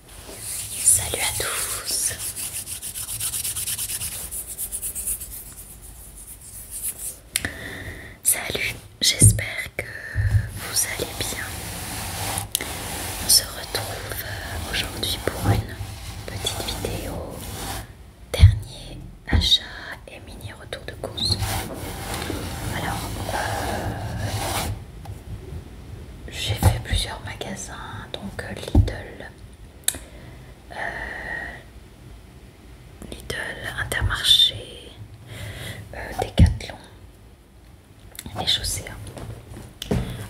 Salut à tous. Salut, j'espère que vous allez bien. On se retrouve euh, aujourd'hui pour une petite vidéo dernier achat et mini retour de course. Alors, euh, j'ai fait plusieurs magasins, donc euh, Lidl, euh, Lidl, Intermarché, euh, Decathlon et chaussées.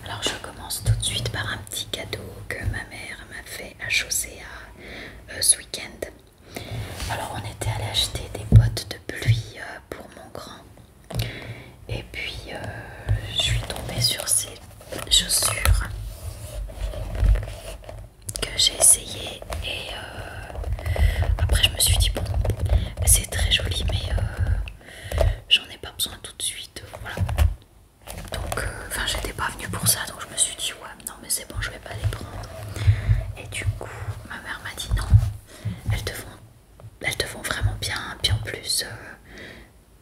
Alors je commence tout de suite par un petit cadeau que ma mère m'a fait à Chaussée ce week-end. Alors on était allé acheter des bottes de pluie pour mon grand et puis euh, je suis tombée sur ces chaussures que j'ai essayé et euh, après je me suis dit bon c'est très joli mais euh, j'en ai pas besoin tout de suite voilà donc enfin j'étais pas venue pour ça donc je me suis dit ouais non mais c'est bon je vais pas les prendre et du coup ma mère m'a dit non elles te font elles te vont vraiment bien. Puis en plus, euh,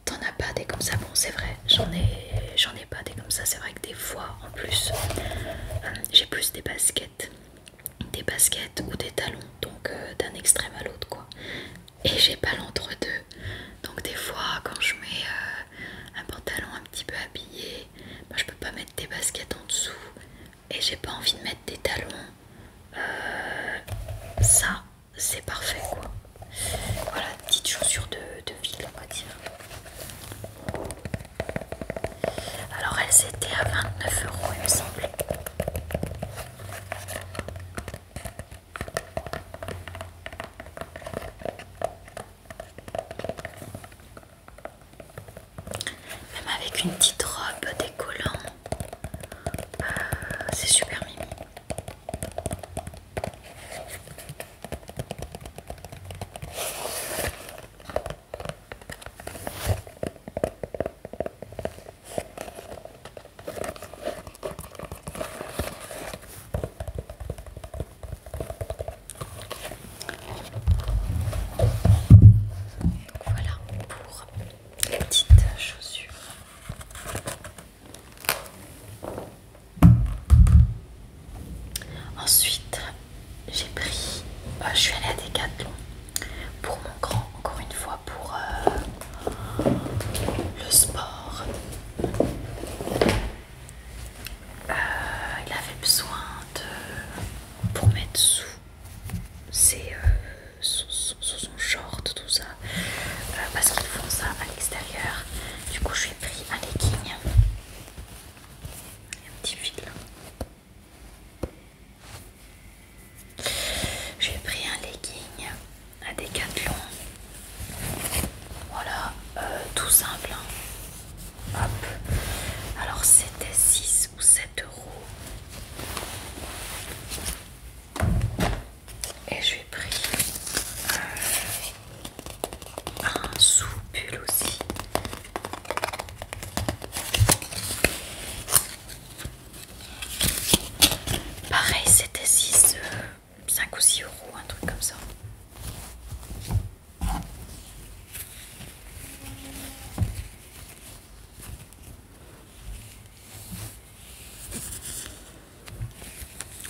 t'en as pas des comme ça. Bon, c'est vrai, j'en ai, j'en ai pas des comme ça. C'est vrai que des fois, en plus, euh, j'ai plus des baskets, des baskets ou des talons, donc euh, d'un extrême à l'autre, quoi. Et j'ai pas l'entre-deux. Donc des fois, quand je mets un pantalon un petit peu habillé, je peux pas mettre des baskets en dessous et j'ai pas envie de mettre des talons, euh, ça c'est parfait quoi. Voilà, petite chaussures de, de ville on va dire. Alors elles étaient à 29 euros il me semble. Même avec une petite robe décollant, euh, c'est super mignon voilà pour les petites chaussures. Ensuite, j'ai pris, euh, je suis allée à Decathlon pour mon grand, encore une fois pour euh, le sport. Euh, il avait besoin de pour mettre sous ses, euh, sous, son short tout ça euh, parce qu'ils font ça à l'extérieur du coup je pris un legging un petit fil, là j'ai pris un legging à décathlon. voilà tout simple hein. Hop. Alors c'était 6 ou 7 euros. Et j'ai pris euh, un sous aussi. Pareil, c'était 6, 5 euh, ou 6 euros, un truc comme ça.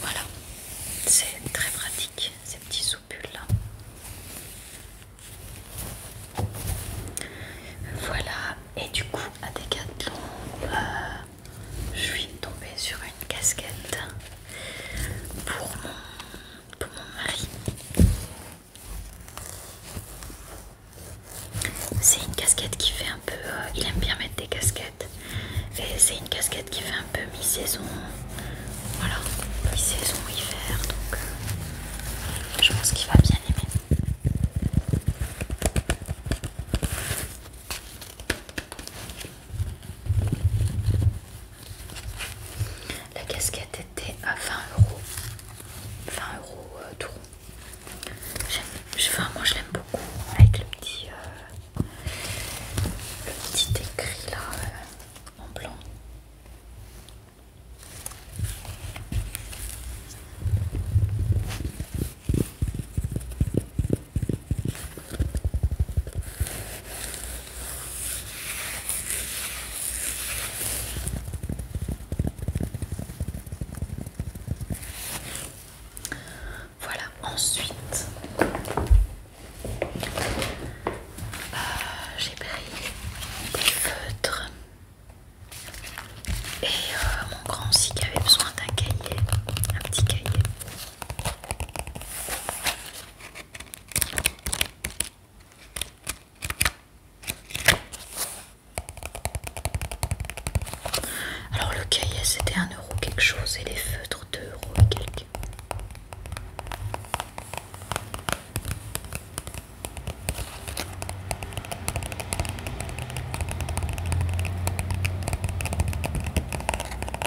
Voilà, c'est très pratique ces petits soupules là. Voilà, et du coup à des euh, je suis tombée sur une casquette pour moi pour mon mari. C'est une casquette qui fait un peu... Euh, il aime bien mettre des casquettes. Et c'est une casquette qui fait un peu mi-saison. Voilà, mi-saison, hiver. Donc euh, je pense qu'il va bien aimer. La casquette était à 20 euros. 20 euros euh, tout. tout je, Moi je l'aime beaucoup avec le petit, euh, petit écrit là euh, en blanc. Voilà, ensuite euh, j'ai pris des feutres et euh, mon grand sic avait besoin d'un cahier, un petit cahier. Alors le cahier c'était un euro quelque chose et les feutres euros et quelques.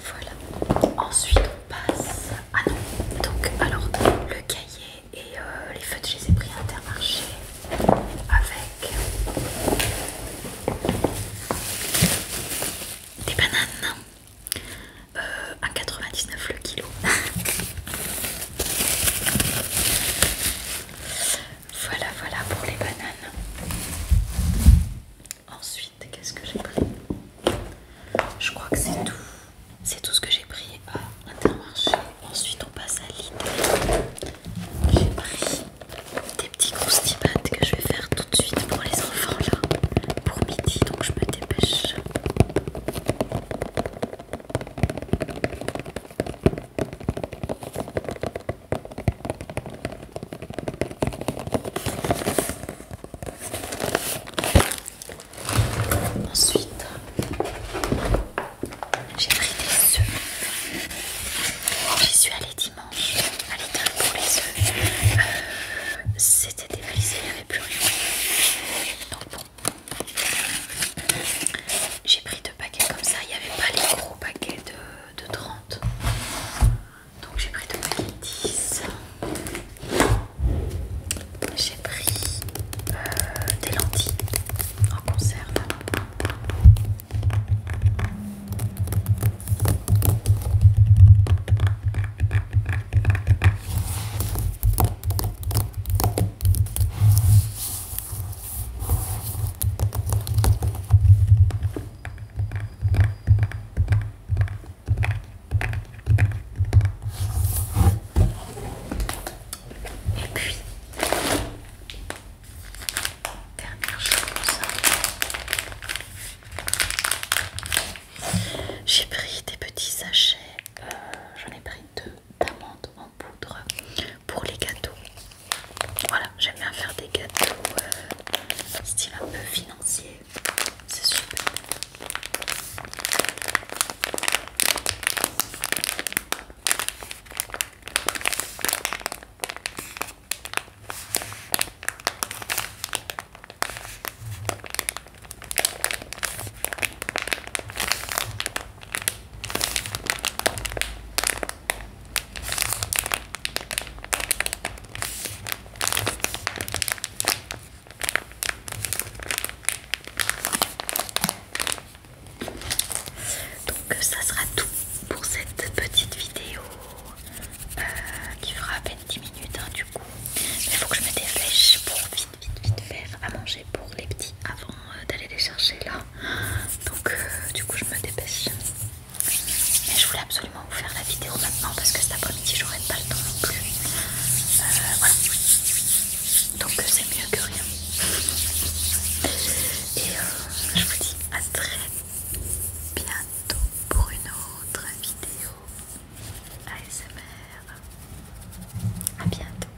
Voilà. Ensuite on passe. Ah non. Donc alors le cahier et euh, les feutres, je les ai pris à Intermarché avec des bananes. Euh, à 99 le kilo. voilà, voilà pour les bananes. Ensuite qu'est-ce que j'ai pris Je crois que c'est tout. C'est tout ce que j'ai pris à l'intermarché. Ensuite, on passe à l'idée. J'ai pris des petits croustibats que je vais faire tout de suite pour les enfants là, pour midi, donc je me dépêche. Ensuite, j'ai pris des œufs. J'y suis allée dimanche à l'étal pour les œufs. Euh, c'était débrisé, il n'y avait plus rien. Donc bon, j'ai pris deux paquets comme ça. Il n'y avait pas les gros paquets de de trente, Donc j'ai pris deux paquets dix, J'ai pris euh, des lentilles en conserve. Et puis, dernière chose, j'ai pris des petits sachets, euh, j'en ai pris deux d'amandes en poudre pour les gâteaux. Voilà, j'aime bien faire des gâteaux euh, style un peu financier, c'est super. Donc euh, ça sera tout pour cette petite vidéo euh, qui fera à peine 10 minutes hein, du coup. Il faut que je me dépêche pour vite vite vite faire à manger pour les petits avant euh, d'aller les chercher là donc euh, du coup je me dépêche mais je voulais absolument vous faire la vidéo maintenant parce que cet après-midi j'aurais pas le temps non plus euh, voilà donc euh, c'est mieux que rien et je vous dis à très bientôt pour une autre vidéo ASMR à bientôt